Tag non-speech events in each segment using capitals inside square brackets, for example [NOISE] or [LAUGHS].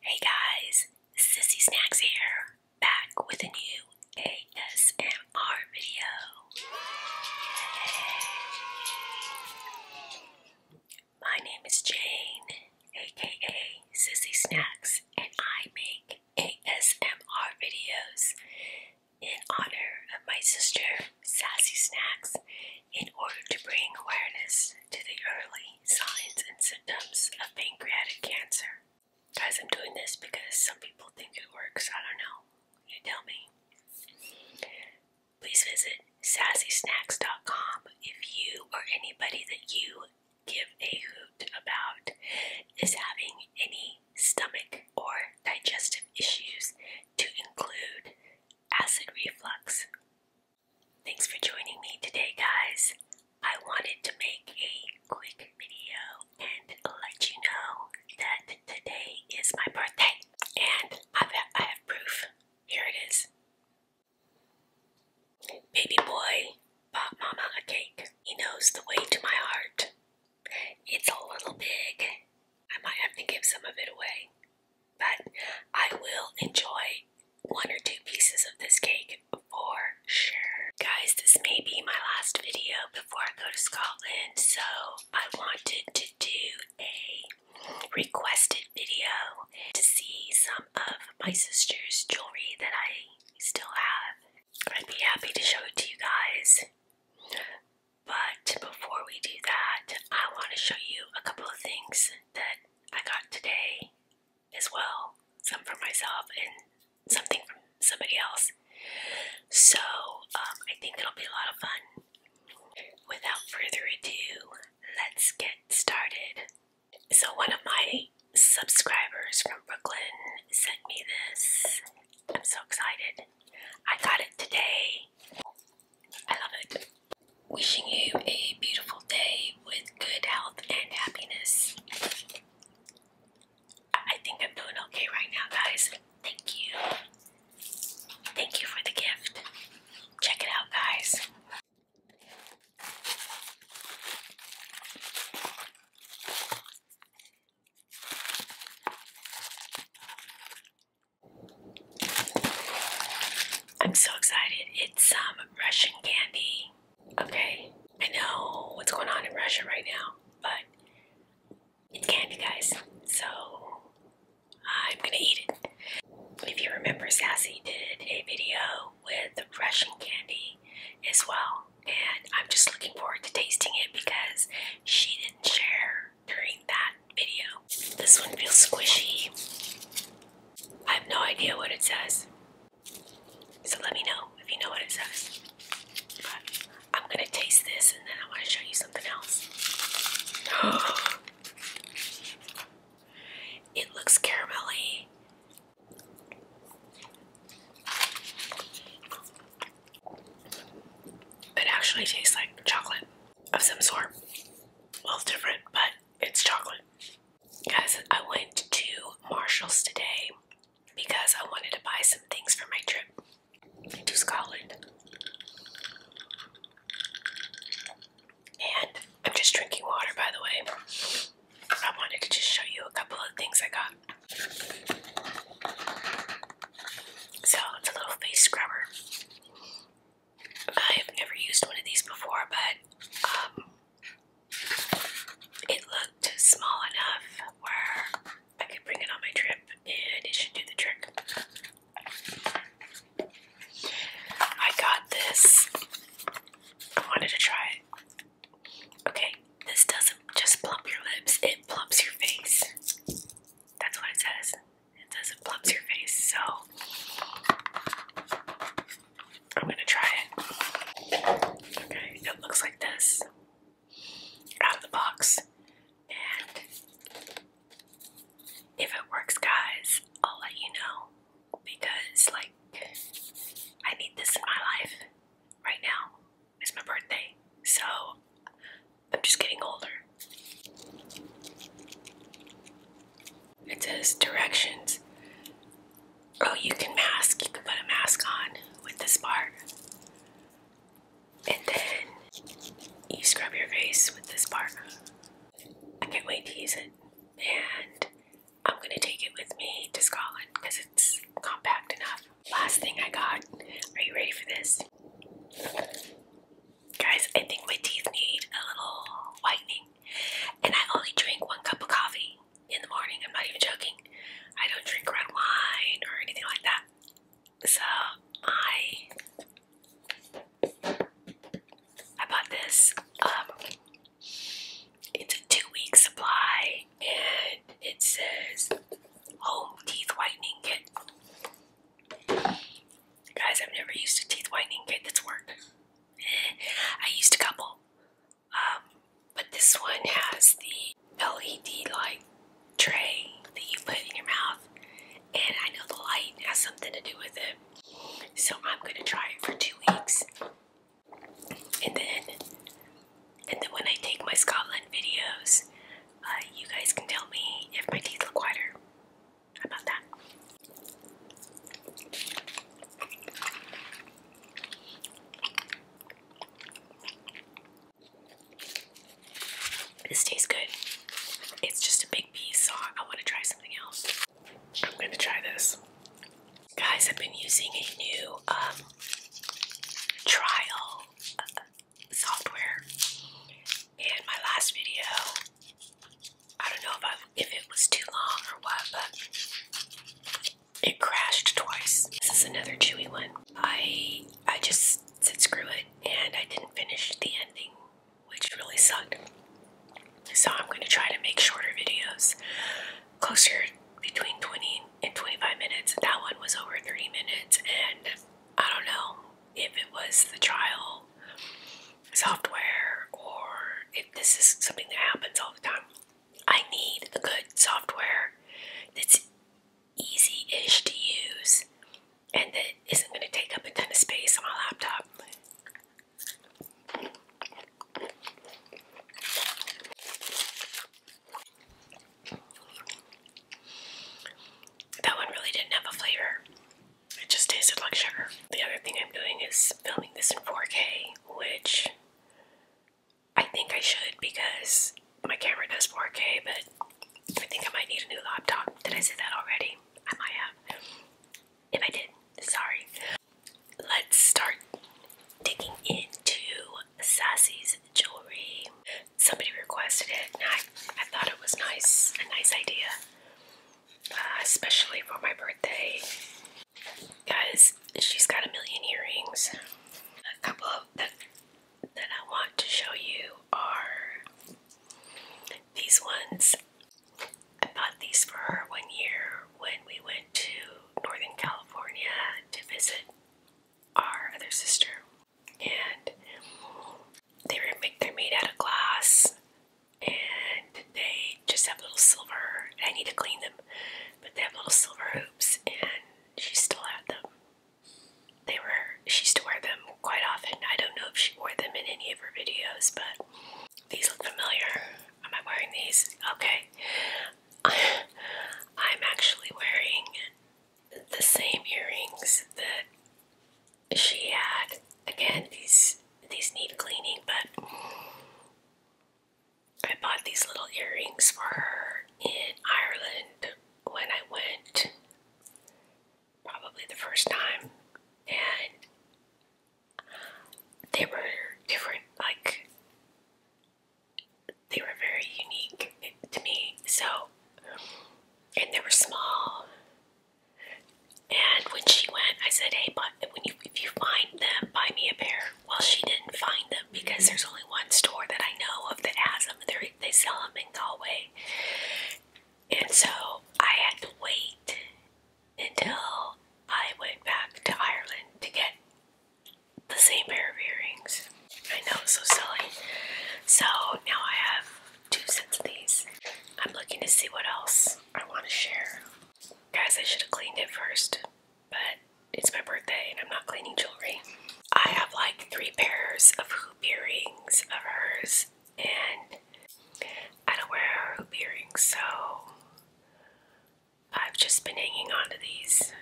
Hey guys, Sissy Snacks here, back with a new ASMR video. My name is Jane, aka Sissy Snacks, and I make ASMR videos in honor of my sister, Sassy Snacks, in order to bring awareness to the early signs and symptoms of pancreatic cancer. Guys, I'm doing this because some people think it works. I don't know. You tell me. Please visit sassysnacks.com if you or anybody that you give a hoot about is having any stomach or digestive issues to include acid reflux, Thanks for joining me today, guys. I wanted to make a quick video and let you know that today is my birthday, and I've, proof. Here it is. Baby boy bought Mama a cake. He knows the way to my heart. It's a little big. I might have to give some of it away but I will enjoy one or two pieces of this cake for sure. Guys, this may be my last video before I go to Scotland, so I wanted to do a requested video to see some of my sister's jewelry that I still have. I'd be happy to show it to you guys. But before we do that, I want to show you a couple of things that I got today as well, some for myself and something from somebody else. So um, I think it'll be a lot of fun. Without further ado, let's get started. So one of my subscribers from Brooklyn sent me this. I'm so excited. I got it today. I love it. Wishing you a beautiful day with good health and happiness. I think I'm doing okay right now, guys. Thank you. Thank you for the gift. Check it out, guys. I'm so excited. It's um Russian candy. Okay, I know what's going on in Russia right now, but it's candy, guys. So I'm gonna eat it. If you remember, Sassy did a video with Russian candy as well, and I'm just looking forward to tasting it because she didn't share during that video. This one feels squishy. I have no idea what it says. So let me know if you know what it says. I'm gonna taste this and then I wanna show you something else. [GASPS] it looks caramelly. It actually tastes like chocolate of some sort. Well, different, but it's chocolate. Guys, I went to Marshall's today because I wanted to buy some things for my trip to Scotland. And I'm just drinking water, by the way. I wanted to just show you a couple of things I got. So it's a little face scrubber. I have never used one of these before, but um, it looked small enough where I could bring it on my trip and it should do the trick. I got this. I wanted to try it. Okay, this doesn't just plump your lips, it plumps your face. That's what it says. It does it plumps your face, so I'm gonna try it. Okay, it looks like this out of the box. And if it works, guys, I'll let you know because, like, I need this in my life right now. It's my birthday, so I'm just getting older. It says directions. Oh, you can mask. You can put a mask on with this part. And then you scrub your face with this part. I can't wait to use it. And I'm going to take it with me to Scotland because it's compact enough. Last thing I got. Are you ready for this? Guys, I think my teeth need a little whitening. And I only drink one cup of coffee in the morning. I'm not even joking. I don't drink red wine or anything like that. So I I bought this. Um, it's a two-week supply, and it says home teeth whitening kit. Guys, I've never used a teeth whitening kit that's worked. I used a couple, um, but this one has the LED light tray that you put in your mouth, and I know the light has something to do with it. So I'm going to try it for two weeks, and then, and then when I take my Scotland videos, uh, you guys can tell me if my teeth look whiter. How about that? This tastes good. It's just a big piece, so I want to try something else. I'm going to try this. Guys, I've been using a new um, trial uh, software. In my last video, I don't know if I've if it was too long or what, but it crashed twice. This is another chewy one. I I just said screw it and I didn't finish the ending, which really sucked. So I'm going to try to make shorter videos, closer between 20 and 25 minutes. That one was over 30 minutes and I don't know if it was the trial software or if this is something that happens all the time. I need a good software that's easy-ish to use and that isn't going to take up a ton of space on my laptop. That one really didn't have a flavor it just tasted like sugar. The other thing I'm doing is filming this in 4K, which I think I should because my camera does 4K, but I think I might need a new laptop. Did I say that already? I might have. If I did, sorry. Let's start digging into Sassy's jewelry. Somebody requested it and I, I thought it was nice, a nice idea. Uh, especially for my birthday. Guys, she's got a million earrings. A couple of that I want to show you are these ones. I bought these for her one year when we went to Northern California to visit our other sister. And they were they're made out of glass and they just have little silver. I need to clean them, but they have little silver hoops, and she still had them. They were she used to wear them quite often. I don't know if she wore them in any of her videos, but these look familiar. Am I wearing these? Okay. [LAUGHS] I'm actually wearing the same earrings that she had. Again, these these need cleaning, but I bought these little earrings for her in Ireland when I went, probably the first time, and they were different, like, they were very unique to me, so, and they were small, and when she went, I said, "Hey, but if you find them, buy me a pair." Well, she didn't find them because there's only one store that I know of that has them. They they sell them in Galway, and so I had to wait until I went back to Ireland to get the same pair of earrings. I know, so silly. So now I have two sets of these. I'm looking to see what else I want to share. Guys, I should have cleaned it first, but it's my birthday and I'm not cleaning jewelry. I have like three pairs of hoop earrings of hers, and I don't wear hoop earrings, so I've just been hanging on to these.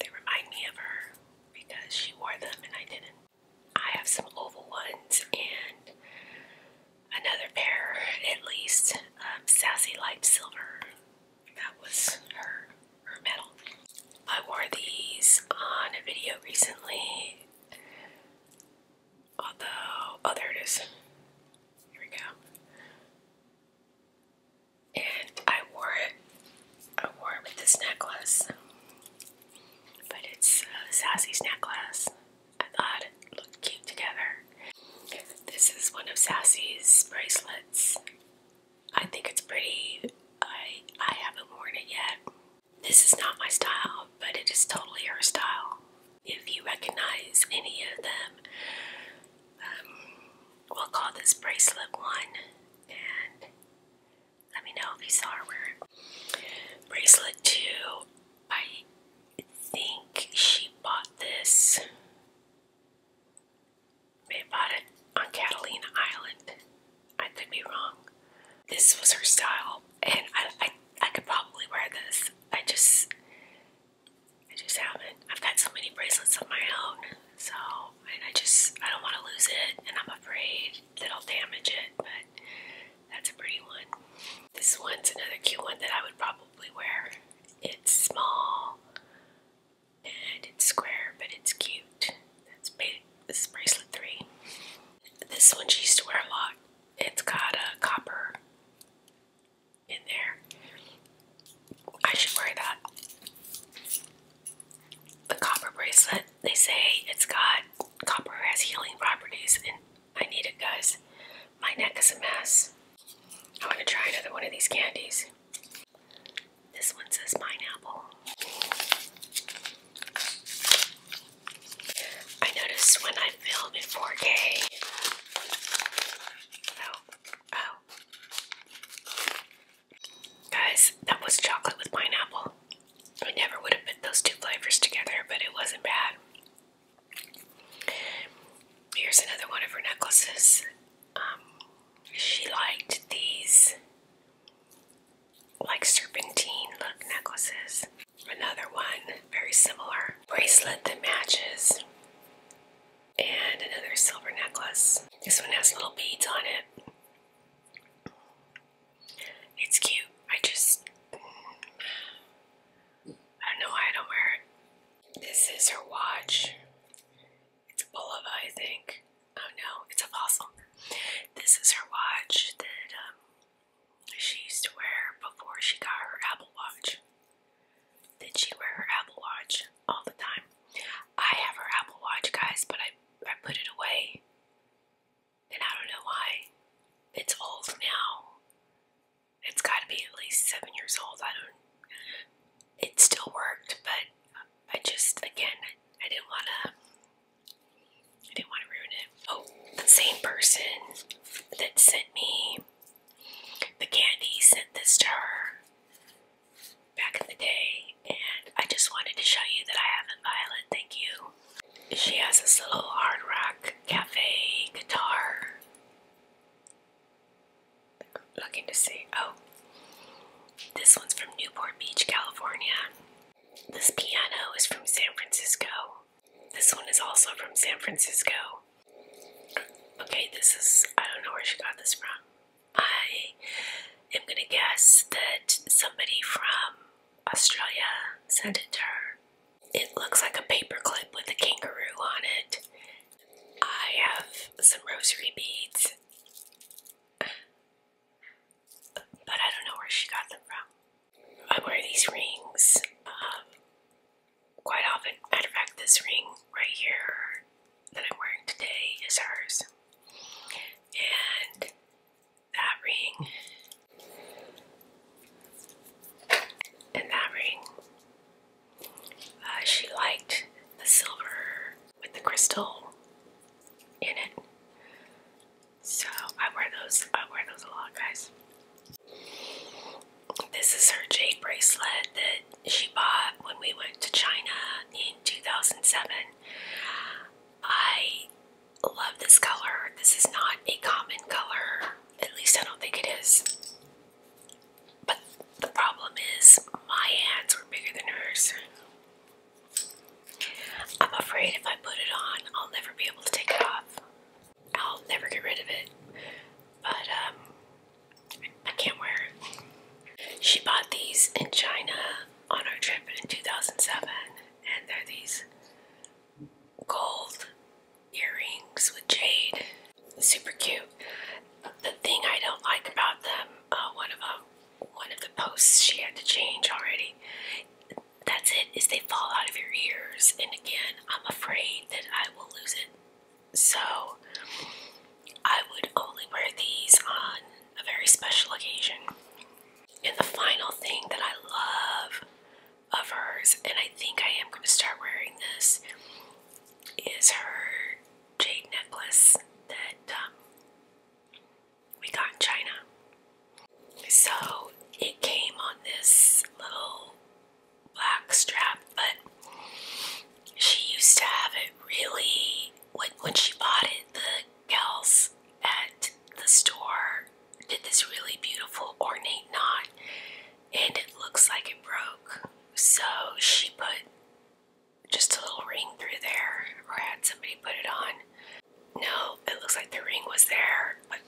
they remind me of her because she wore them and I didn't. I have some oval ones, and another pair at least. Um, Sassy Light Silver. That was her, her metal. I wore these on a video recently. Although, oh, there it is. Here we go. And I wore it. I wore it with this necklace, but it's uh, Sassy's necklace. I thought it looked cute together. This is one of Sassy's bracelets. I think it's pretty. I I haven't worn it yet. This is not my style, but it is totally her style. If you recognize any of them, um, we'll call this bracelet one, and let me know if you saw her wear it. Bracelet two, I I think she bought this. They bought it on Catalina Island. I could be wrong. This was her style, and I, I, I could probably wear this. I just, I just haven't. I've got so many bracelets on my own, so and I just, I don't want to lose it, and I'm afraid that I'll damage it. But that's a pretty one. This one's another cute one that I would probably wear. It's small and it's square, but it's cute. That's big. This is bracelet three. This one she used to wear a lot. It's got a copper in there. I should wear that. The copper bracelet. They say it's got copper has healing properties and I need it, guys. My neck is a mess. I want to try another one of these candies. This one says pineapple. I notice when I film in 4K. Oh, oh. Guys, that was chocolate with pineapple. I never would have put those two flavors together, but it wasn't bad. Here's another one of her necklaces. Um, she liked these like serpentine look necklaces. Another one, very similar. Bracelet that matches. And another silver necklace. This one has little beads on it. It's cute. I just... I don't know why I don't wear it. This is her watch. It's Bulova, I think. Oh no, it's a fossil. This is her watch that um, she used to wear before she got her Apple Watch. Did she wear her Apple Watch all the time? I have her Apple Watch, guys, but I I put it away and I don't know why it's old now. It's got to be at least seven years old. I don't. It still worked, but I just again I didn't want to. I didn't want to ruin it. Oh, the same person that sent me the candy sent this to her back in the day, and I just wanted to show you that I haven't violated. Thank you. She has this little hard rock cafe guitar. Looking to see. Oh, this one's from Newport Beach, California. This piano is from San Francisco. This one is also from San Francisco. Okay, this is, I don't know where she got this from. I am gonna guess that somebody from Australia sent it to her. It looks like a paperclip with a kangaroo on it. I have some rosary beads, but I don't know where she got them from. I wear these rings um, quite often. Matter of fact, this ring right here that I'm wearing today is hers. And that ring in that ring. Uh, she liked the silver with the crystal in it. So I wear those. I wear those a lot, guys. This is her jade bracelet that she bought when we went to China in 2007. I love this color. This is not a common color. At least I don't think it is. But the problem is my hands were bigger than hers. I'm afraid if I put it on, I'll never be able to take it off. I'll never get rid of it. But um I can't wear it. She bought these in China on our trip in 2007 and they're these gold earrings with jade. Super cute. The thing I don't like about them, uh, one of them, um, one of the posts she had to change already. That's it. Is they fall out of your ears, and again, I'm afraid that I will lose it. So I would only wear these on a very special occasion. And the final thing that I love of hers, and I think I am going to start wearing this, is her jade necklace that um, we got in China. So it came on this little black strap, but she used to have it really, when, when she bought it, the gals at the store did this really beautiful ornate knot and it looks like it broke. So she put just a little ring through there or had somebody put it on. No, it looks like the ring was there, but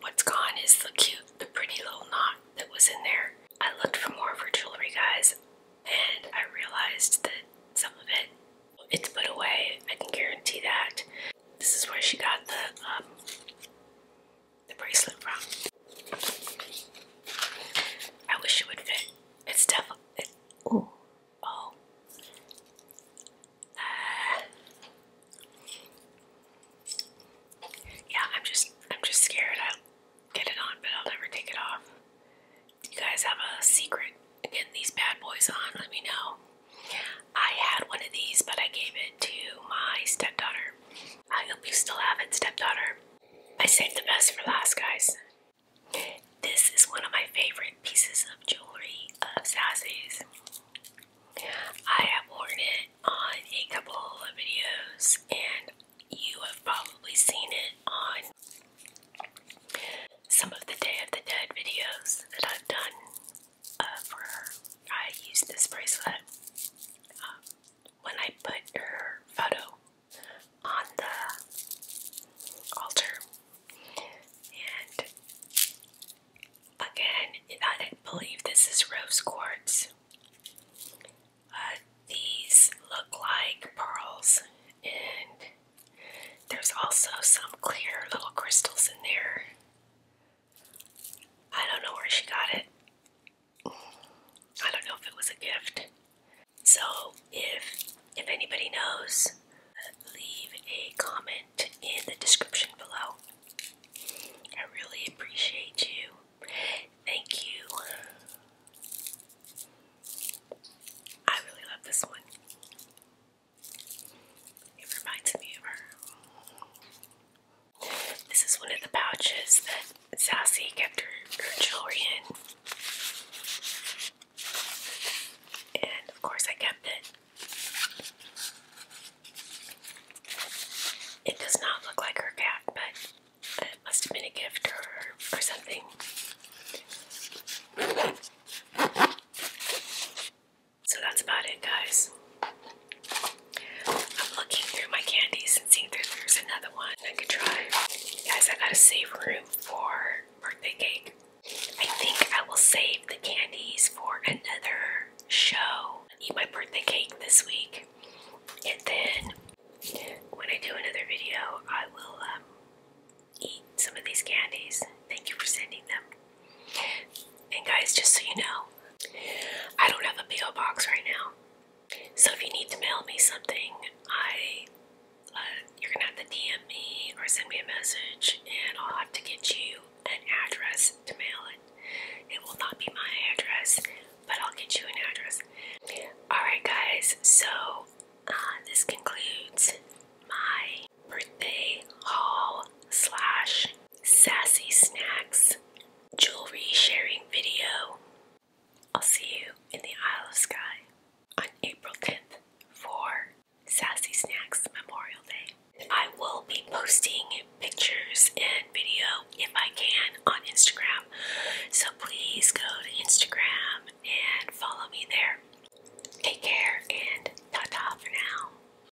what's gone is the cute, the pretty little knot that was in there. I looked for more of her jewelry, guys, and I realized that some of it, it's put away. I can guarantee that. This is where she got the um, the bracelet from. I wish it would fit. It's definitely. It, oh, oh. Uh, yeah, I'm just, I'm just scared. I'll get it on, but I'll never take it off. If you guys have a secret in getting these bad boys on? Let me know. I had one of these, but I gave it to my stepdaughter. I hope you still have it, stepdaughter. I saved the best for last, guys. This is one of my favorite pieces of jewelry of Sassy's. I have worn it on a couple of videos, and you have probably seen it on some of the Day of the Dead videos that I've done uh, for her. I used this bracelet um, when I put her photo on the altar. And again, I believe this is rose quartz. Uh, these look like pearls, and there's also some clear little crystals in there. I don't know where she got it. I don't know if it was a gift. So if if anybody knows, leave a comment in the description below. I really appreciate you. Thank you. I really love this one. It reminds me of her. This is one of the pouches that Sassy kept her, jewelry in. And of course, I kept it. It does not look like her cat, but it must have been a gift or, or something. So that's about it, guys. I'm looking through my candies and seeing if there's another one I could try. Guys, I gotta save room for birthday cake. I think I will save the candies for another show. Eat my birthday cake this week. And then when I do another video, I will um, eat some of these candies. Thank you for sending them. And guys, just so you know, I don't have a P.O. box right now. So if you need to mail me something, I uh, you're gonna have to DM me or send me a message, and I'll have to get you an address to mail it. It will not be my address, but I'll get you an address. Alright, guys, so uh, this concludes my birthday haul slash sassy snacks, jewelry sharing video. I'll see you in the Isle of Skye on April 10th for Sassy Snacks Memorial Day. I will be posting pictures and video if I can on Instagram. So please go to Instagram and follow me there. Take care and ta-ta for now.